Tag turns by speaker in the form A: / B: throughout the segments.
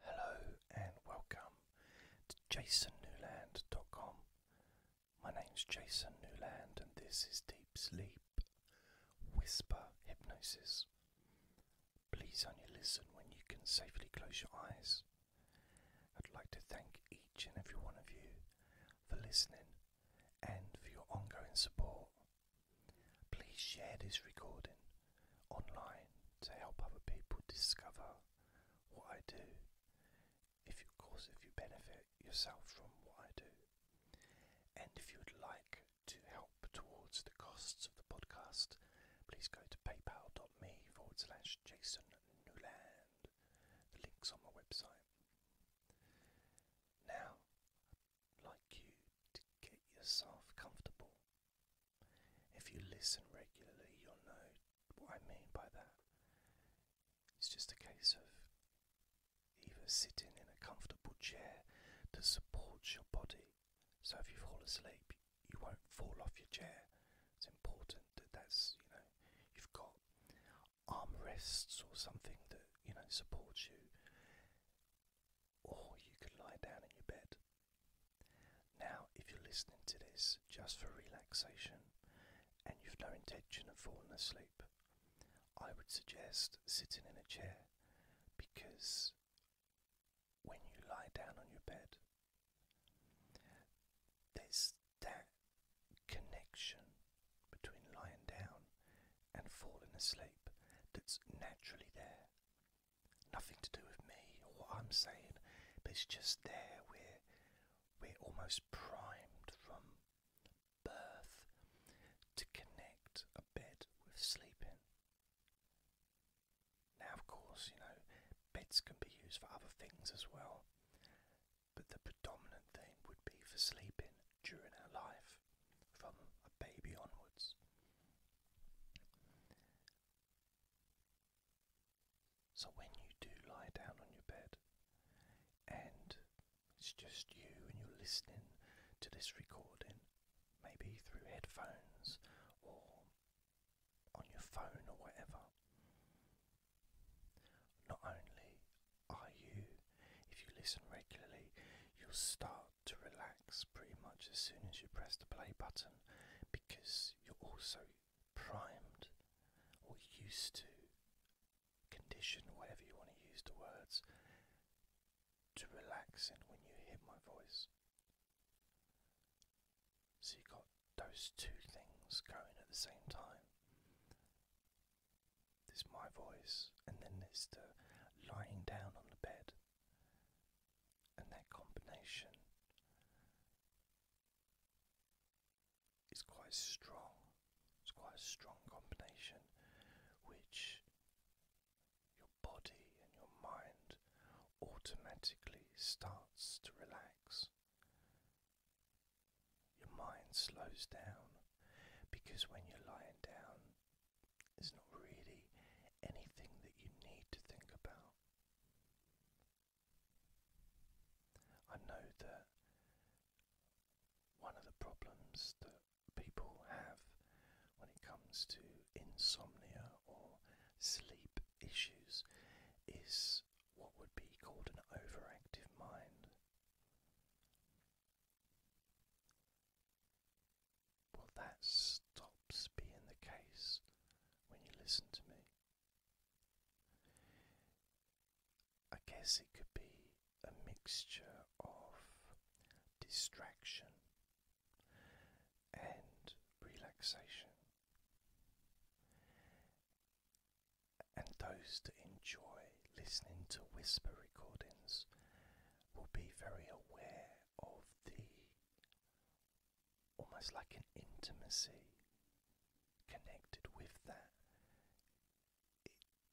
A: Hello and welcome to jasonnewland.com. My name's Jason Newland and this is Deep Sleep Whisper Hypnosis. Please only listen when you can safely close your eyes. I'd like to thank each and every one of you for listening and for your ongoing support. Please share this recording online to help other people discover what I do. If, of course, if you benefit yourself from what I do, and if you would like to help towards the costs of the podcast, please go to paypal.me forward slash Jason Newland. The link's on my website. Now, I'd like you to get yourself comfortable if you listen regularly, you'll know what I mean by that. It's just a case of either sitting in a comfortable chair that supports your body, so if you fall asleep, you won't fall off your chair. It's important that that's, you know, you've got arm rests or something that, you know, supports you. Or you could lie down in your bed now, if you're listening to this just for relaxation and you've no intention of falling asleep, I would suggest sitting in a chair because when you lie down on your bed, there's that connection between lying down and falling asleep that's naturally there. Nothing to do with me or what I'm saying, but it's just there. We're we're almost primed from birth to connect a bed with sleeping. Now, of course, you know beds can be used for other things as well, but the predominant thing would be for sleeping during our life, from a baby onwards. So when you do lie down on your bed and it's just you and you're listening to this recording, maybe through headphones or on your phone or whatever, not only are you, if you listen regularly, you'll start to relax pretty much as soon as you press the play button because you're also primed or used to, condition, whatever you want to use the words, to relax. And when you hear my voice. So you've got those two things going at the same time. There's my voice, and then there's the lying down on the bed and that combination is quite strong. It's quite a strong combination which your body and your mind automatically starts to relax. Your mind slows down because when you're lying down, there's not really anything that you need to think about. I know that one of the problems that people have when it comes to insomnia or sleep issues is what would be called an overactive mind. Well, that stops being the case when you listen to me. I guess it could be a mixture of distraction and relaxation. And those that enjoy listening to whisper recordings will be very aware of the almost like an intimacy connected with that.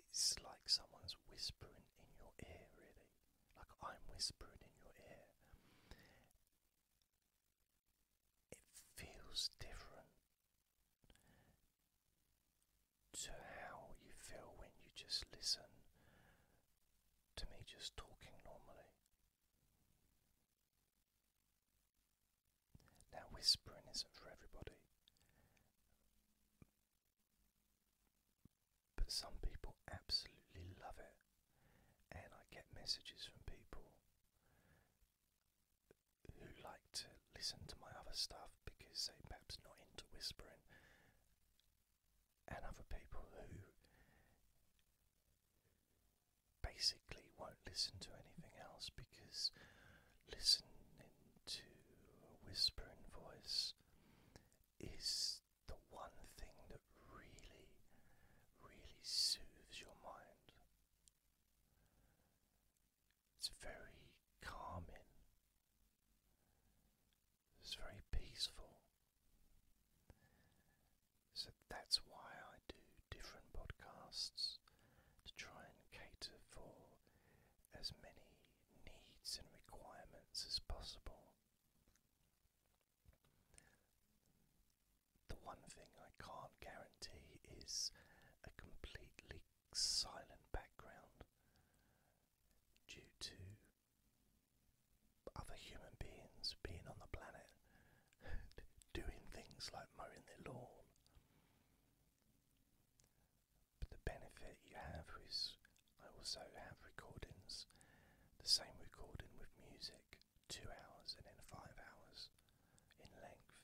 A: it's like someone's whispering in your ear, really. Like I'm whispering in your ear. It feels different to how you feel when you just listen to me just talking normally. Now, whispering isn't for everybody, but some people absolutely love it, and I get messages from people who like to listen to my other stuff because they perhaps not into whispering and other people who basically won't listen to anything else because listening to a whispering voice is the one thing that really, really soothes your mind. It's very calming. It's very peaceful. So that's why I do different podcasts to try and cater for as many needs and requirements as possible. The one thing I can't guarantee is a completely silent background due to other human beings being on the planet doing things like mowing their lawn. But the benefit you have is I also have recordings, the same recording with music, two hours and then five hours in length.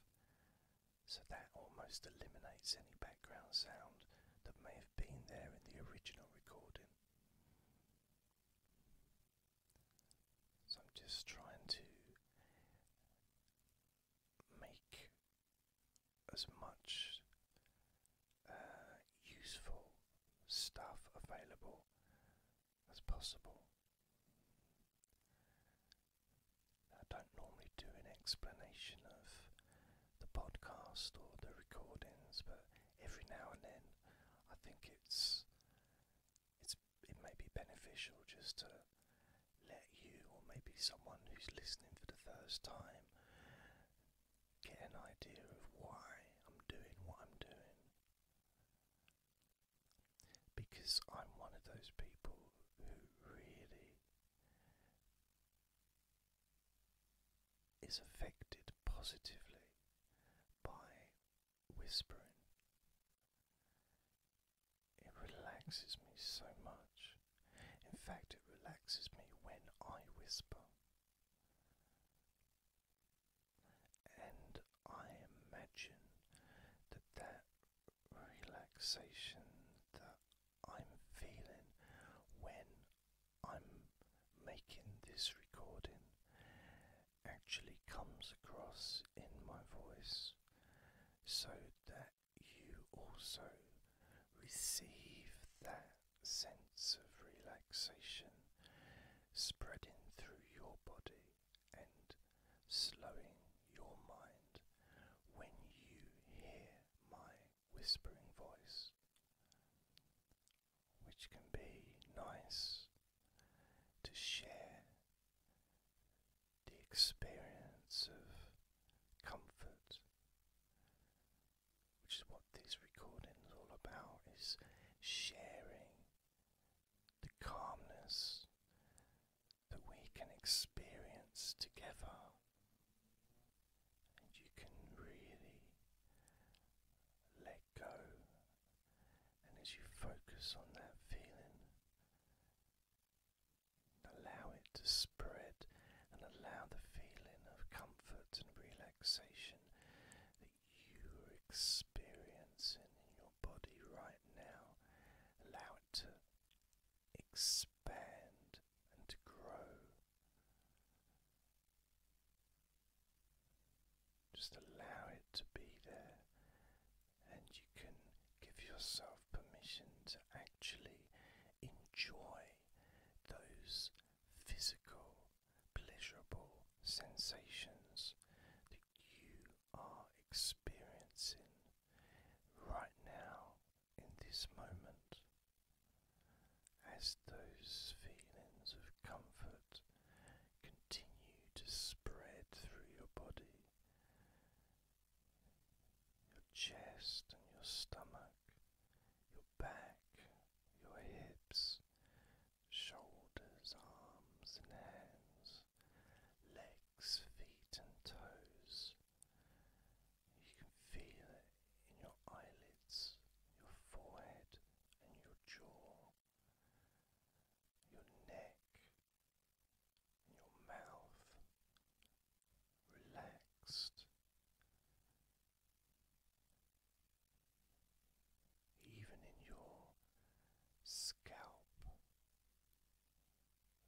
A: So that almost eliminates any background sound that may have been there in the original recording. So I'm just trying to make as much uh, useful stuff available as possible. I don't normally do an explanation of the podcast or the recordings, but every now and then I think it's it's it may be beneficial just to let you or maybe someone who's listening for the first time get an idea of why I'm doing what I'm doing. Because I'm one of those people who really is affected positively by whispering. It relaxes me so much. In fact, it relaxes me when I whisper. And I imagine that that relaxation that I'm feeling when I'm making this recording actually comes across in my voice so that you also receive that sense of relaxation spreading through your body and slowing your mind when you hear my whispering voice which can be nice to share the experience of comfort, which is what this recording is all about, is sharing the calmness that we can experience together. And you can really let go. And as you focus on that feeling, allow it to spread and allow the feeling of comfort and relaxation that you are experiencing in your body right now, allow it to expand and to grow. Just allow it to be there, and you can give yourself permission to actually enjoy those physical, pleasurable sensations that you are experiencing right now in this moment. As those feelings of comfort continue to spread through your body, your chest and your stomach, your back, your hips, shoulders, arms and hands, legs, feet and toes. You can feel it in your eyelids, your forehead and your jaw your neck, your mouth relaxed. Even in your scalp,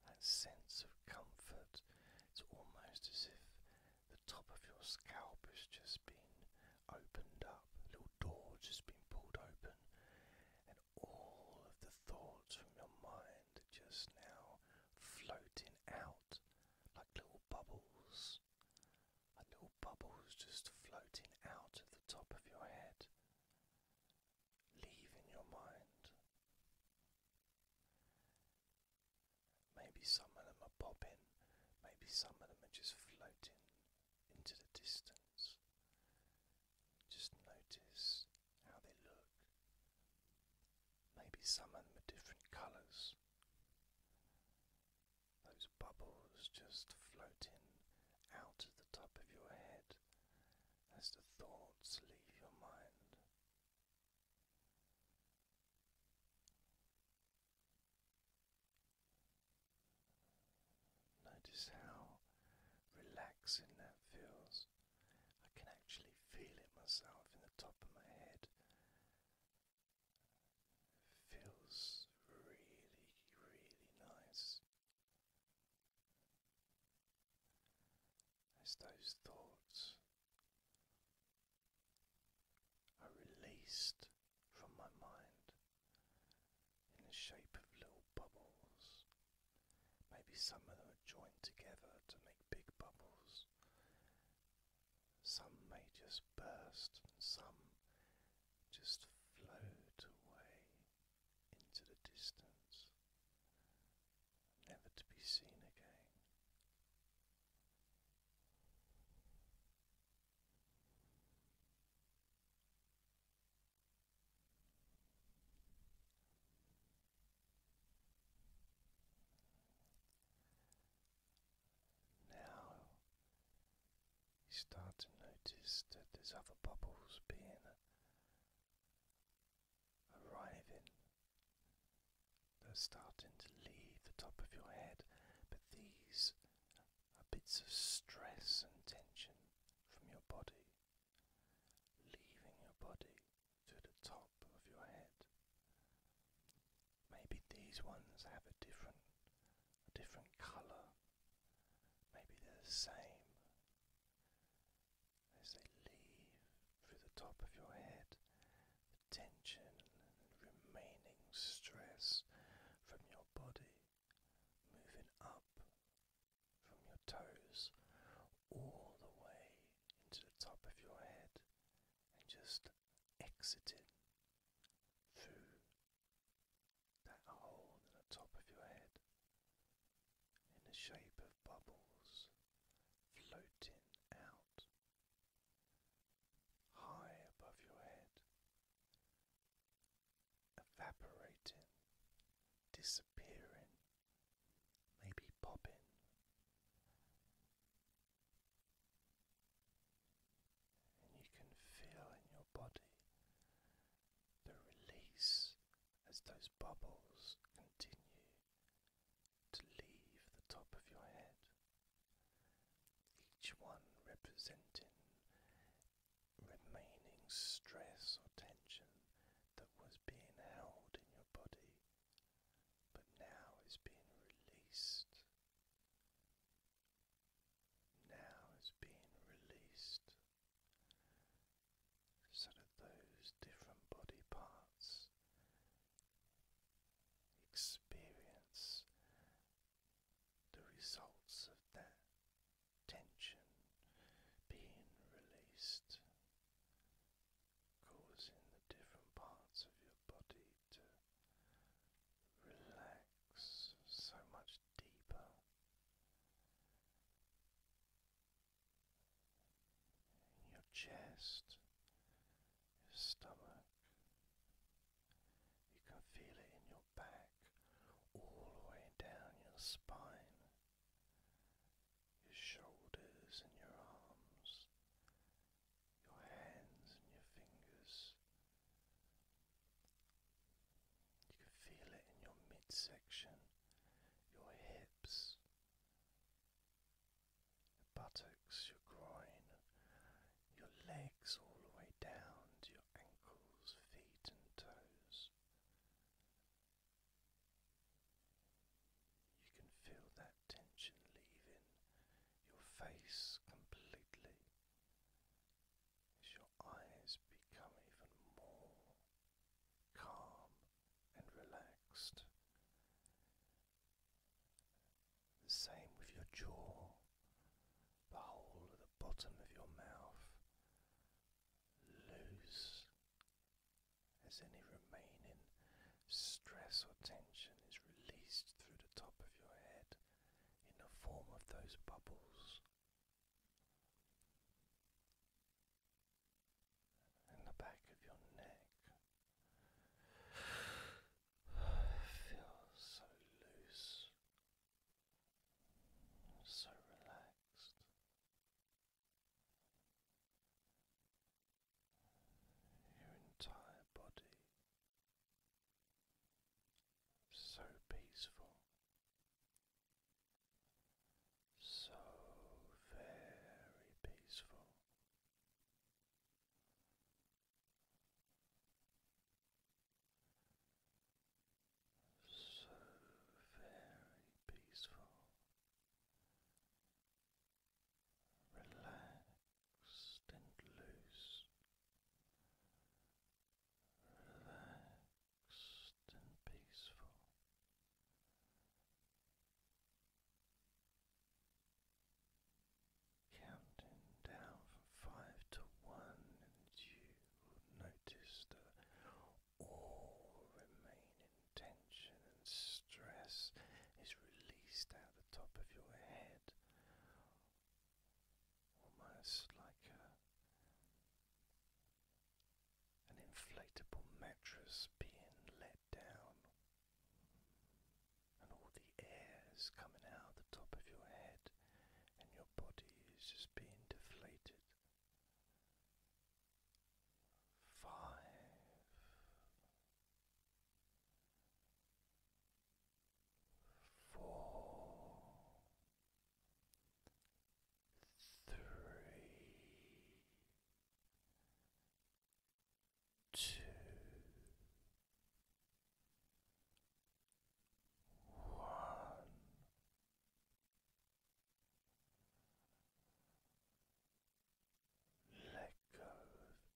A: that sense of comfort, it's almost as if the top of your scalp has just been opened up, door just been pulled open, and all of the thoughts from your mind just now floating out like little bubbles. Like little bubbles just floating out of the top of your head, leaving your mind. Maybe some of them are popping, maybe some of them are just floating into the distance. Just notice how they look. Maybe some of them are different colours. Those bubbles just floating out of the top of your head as the thoughts leave your mind. Notice how relaxing that feels. I can actually feel it myself in the top of my head. feels really, really nice. As those thoughts are released from my mind in the shape of little bubbles. Maybe some of them are joined together to make big bubbles. Some may just burst and some just float away into the distance, never to be seen again. Now you start to notice that there's other bubbles being arriving. They're starting to leave the top of your head, but these bits of stress and tension from your body, leaving your body to the top of your head. Maybe these ones have a different a different colour. Maybe they're the same. As they leave through the top of your head, tension and remaining stress from your body moving up from your toes all the way into the top of your head and just exiting through that hole in the top of your head in the shape of bubbles floating out high above your head evaporating, disappearing, maybe popping. And you can feel in your body the release as those bubbles continue to leave the top of your head, each one representing remaining stress or tension that was being held in your body but now is being released. Now is being released so that those different body parts experience the results of that tension being released, causing the different parts of your body to relax so much deeper. In your chest, your stomach, you can feel it in your back, all the way down your spine, your shoulders and your arms, your hands and your fingers. You can feel it in your midsection, your hips, buttocks, your groin, your legs all the way down to your ankles, feet, and toes. You can feel that tension leaving your face completely as your eyes become even more calm and relaxed. The same with your jaw the whole of the bottom of your mouth loose as any remaining stress or tension is released through the top of your head in the form of those bubbles. And the back of your neck feels so loose so relaxed. Your entire body so peaceful, so very peaceful. So very peaceful, relaxed and loose, relaxed and peaceful. Counting down from five to one, and you notice that all remaining tension and stress is released out the top of your head, almost like an inflatable mattress being let down, and all the air is coming out the top of your head and your body is just being deflated. Five. Four, one. Let go of everything.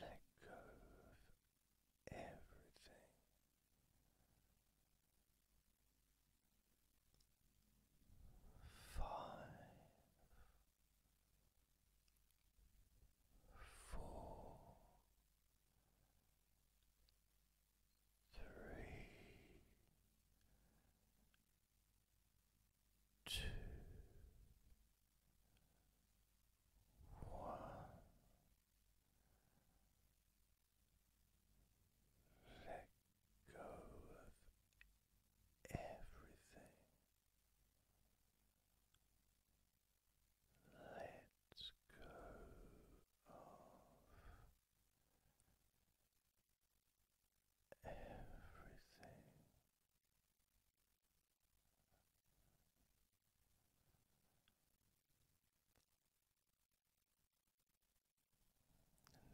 A: Let go of everything. Five, four, three, two, one. Let go of everything. Let go of everything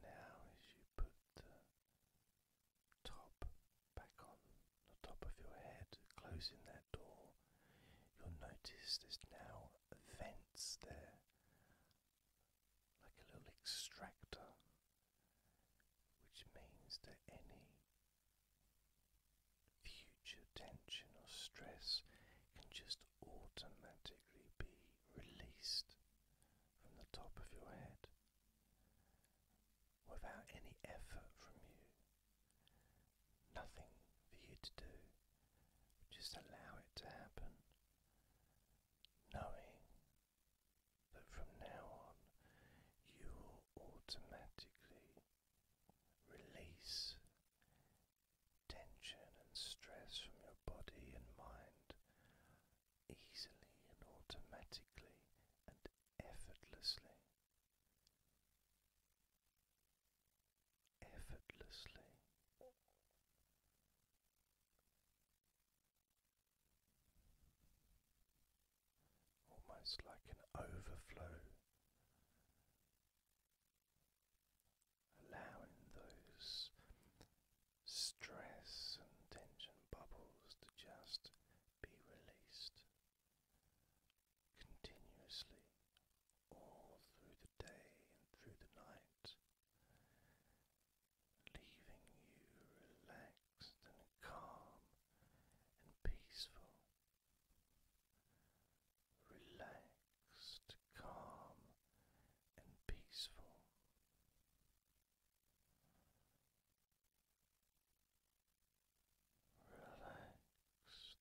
A: now, as you put the top back on the top of your head, closing that door, you'll notice there's now vents there, like a little extractor, which means that any future tension or stress can just automatically be released from the top of your head without any effort from you. Nothing for you to do, just allow it to happen, knowing that from now on you will automatically release tension and stress from your body and mind easily and automatically and effortlessly. Effortlessly. Almost like an overflow allowing those stress and tension bubbles to just be released continuously all through the day and through the night, leaving you relaxed and calm and peaceful relaxed, calm, and peaceful. Relaxed,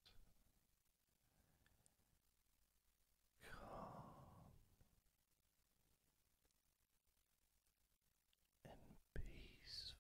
A: calm, and peaceful.